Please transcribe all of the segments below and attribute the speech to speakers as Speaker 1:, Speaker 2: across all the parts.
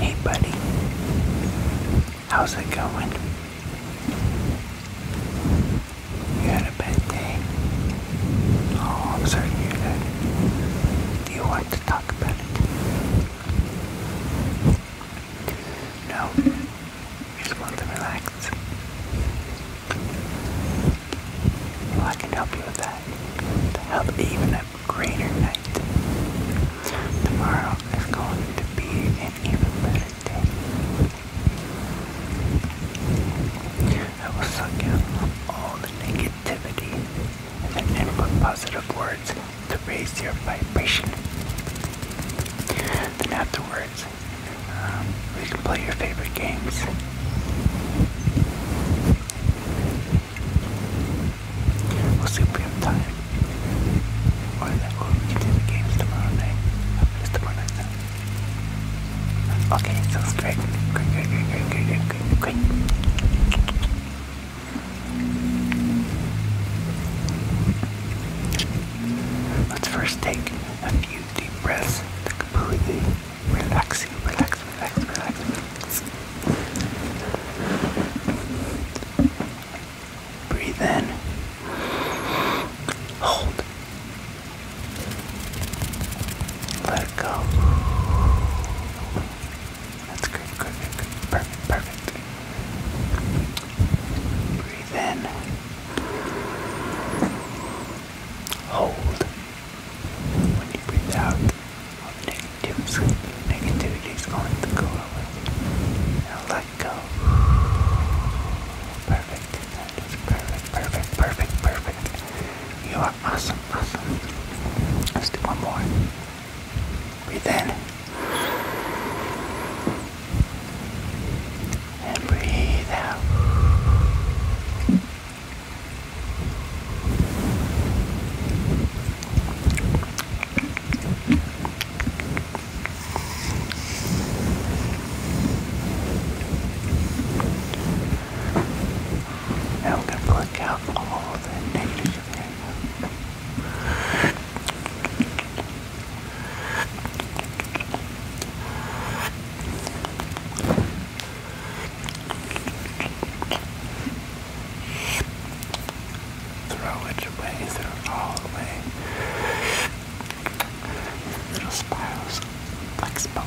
Speaker 1: Hey, buddy, how's it going? You had a bad day? Oh, I'm sorry to hear Do you want to talk about it? No, just want to relax. Well, I can help you with that to help even a greater night. Tomorrow is going to be an even better day. I will suck out all the negativity and then input positive words to raise your vibration. Then afterwards, um, we can play your favorite games. We'll see if time. Or that will we can do the games tomorrow night. tomorrow night Okay, sounds great. Great, great, great, great, Let's first take a few deep breaths to completely Relaxing, relax, relax, relax, Breathe in. Hold. Let go. That's good, good, Perfect, perfect. Breathe in. Hold. When you breathe out, all the negativity, is going to go away. Now let go. Perfect. perfect, perfect, perfect, perfect. You are awesome, awesome. Let's do one more. Breathe in. And breathe out. Now we're going to work out all the negative areas. Throw it away, throw it all away. Little spirals, like smoke.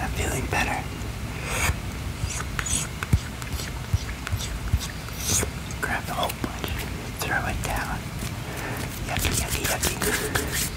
Speaker 1: I'm feeling better. Grab the whole bunch, throw it down. Yucky, yucky, yucky.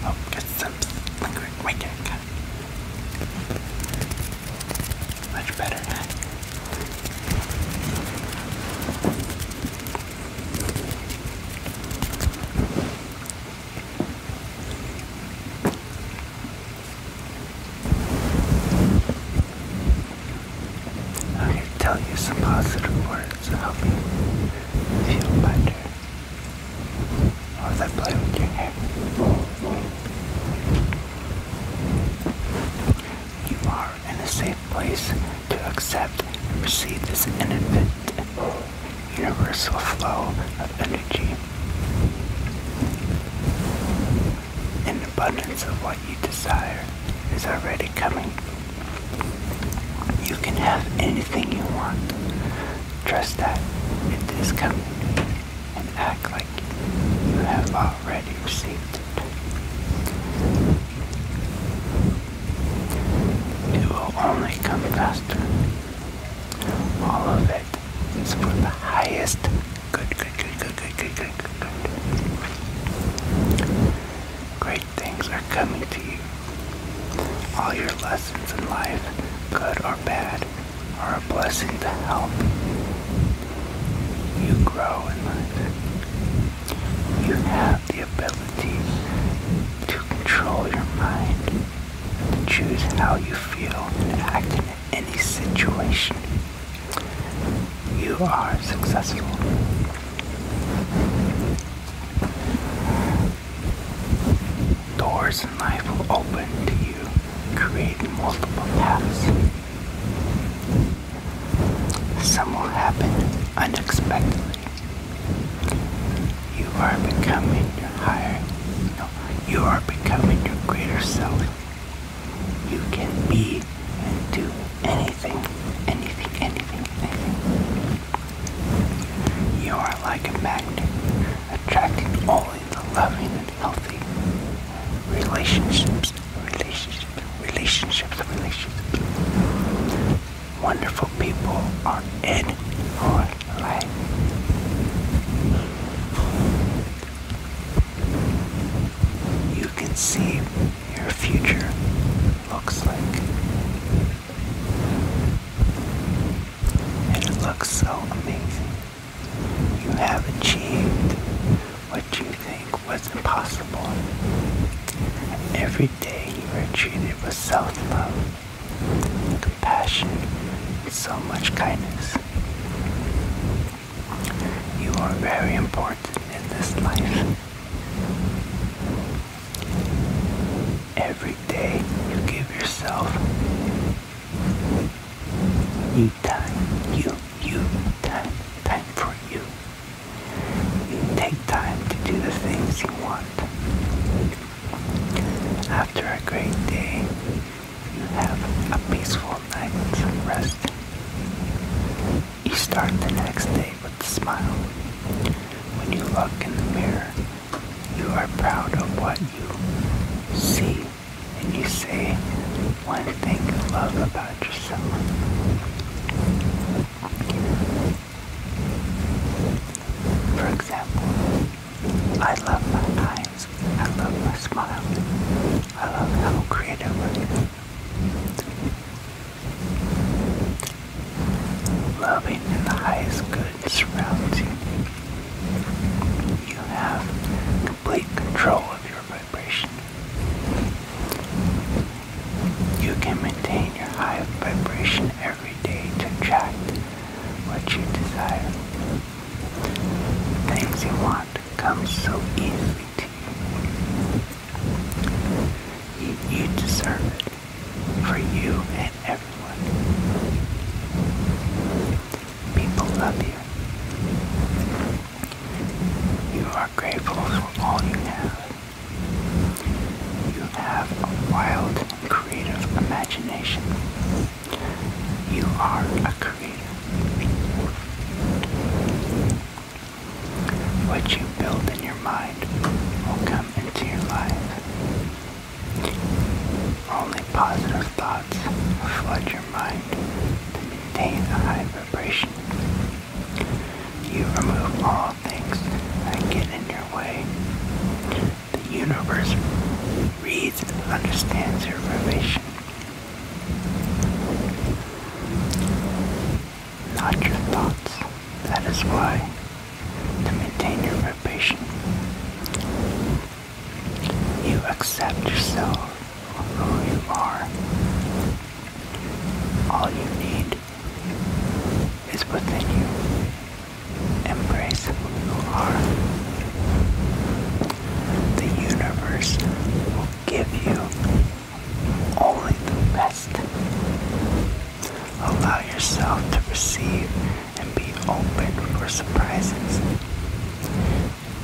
Speaker 1: Oh, get some lingering wicked. Much better. I'm going to tell you some positive words to help you feel better. Or that play with your hair. You are in a safe place to accept and receive this infinite universal flow of energy. An abundance of what you desire is already coming. You can have anything you want. Trust that it is coming and act like you have already received it will only come faster. All of it is for the highest good, good, good, good, good, good, good, good, good. Great things are coming to you. All your lessons in life, good or bad, are a blessing to help. You grow in life. You have the ability to control your mind, choose how you feel, and act in any situation. You are successful. Doors in life will open to you, creating multiple paths. Some will happen unexpectedly. You are becoming your higher, no, you are becoming your greater self. You can be and do anything, anything, anything, anything. You are like a magnet, attracting only the loving and healthy relationships, relationships relationships, relationships. Wonderful people are in your life. You can see your future looks like. And it looks so amazing. You have achieved what you think was impossible. Every day you were treated with self-love, compassion, and so much kindness. You are very important in this life. Every day you give yourself you time, you, you, time, time for you. You Take time to do the things you want. After a great day, you have a peaceful night night's rest. You start the next day with a smile. When you look in the mirror, you are proud of what you see and you say one thing love about yourself. For example, I love my eyes, I love my smile, I love how creative I am. Loving in the highest good surrounds you. You have complete control of your vibration. You can maintain your high vibration every day to attract what you desire. Things you want come so easily to you. You, deserve it for you and everyone. People love you. You are grateful for all you have. You have a wild and creative imagination. You are a creator. What you build in your mind will come into your life. Only positive thoughts flood your mind to maintain a high vibration. You remove all things that get in your way. The universe reads and understands your vibration, Not your thoughts. That is why, to maintain your relation, you accept yourself for who you are. All you need good is within you. Embrace who you are. The universe will give you only the best. Allow yourself to receive and be open for surprises.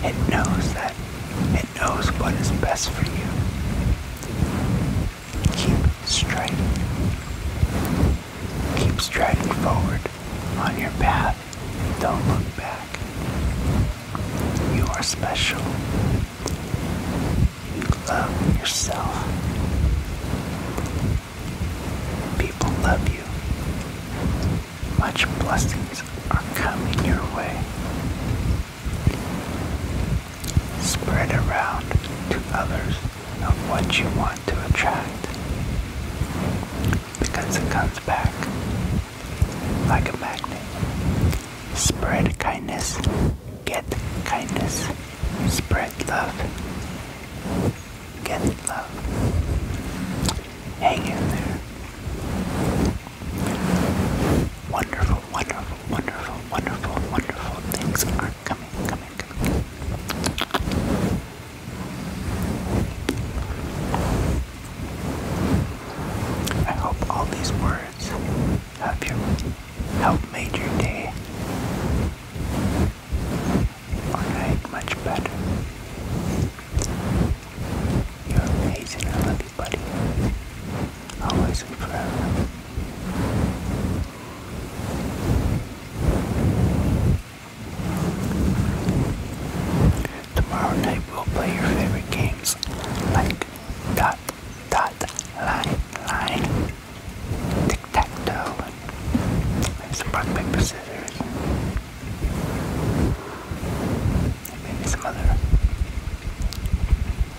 Speaker 1: It knows that it knows what is best for you. Keep straight. Keep striding forward on your path. Don't look back. You are special. You love yourself. People love you. Much blessings are coming your way. Spread around to others of what you want to attract because it comes back like a magnet. Spread kindness, get kindness. Spread love, get love. Hang in there. Wonderful wonderful, wonderful, wonderful, wonderful, things are coming, coming, coming. I hope all these words have your help made your day or night much better. You're amazing, I always and forever. Tomorrow night we'll play your favorite games like dot, dot, line, line, tic-tac-toe, and some rock, paper, scissors, maybe some other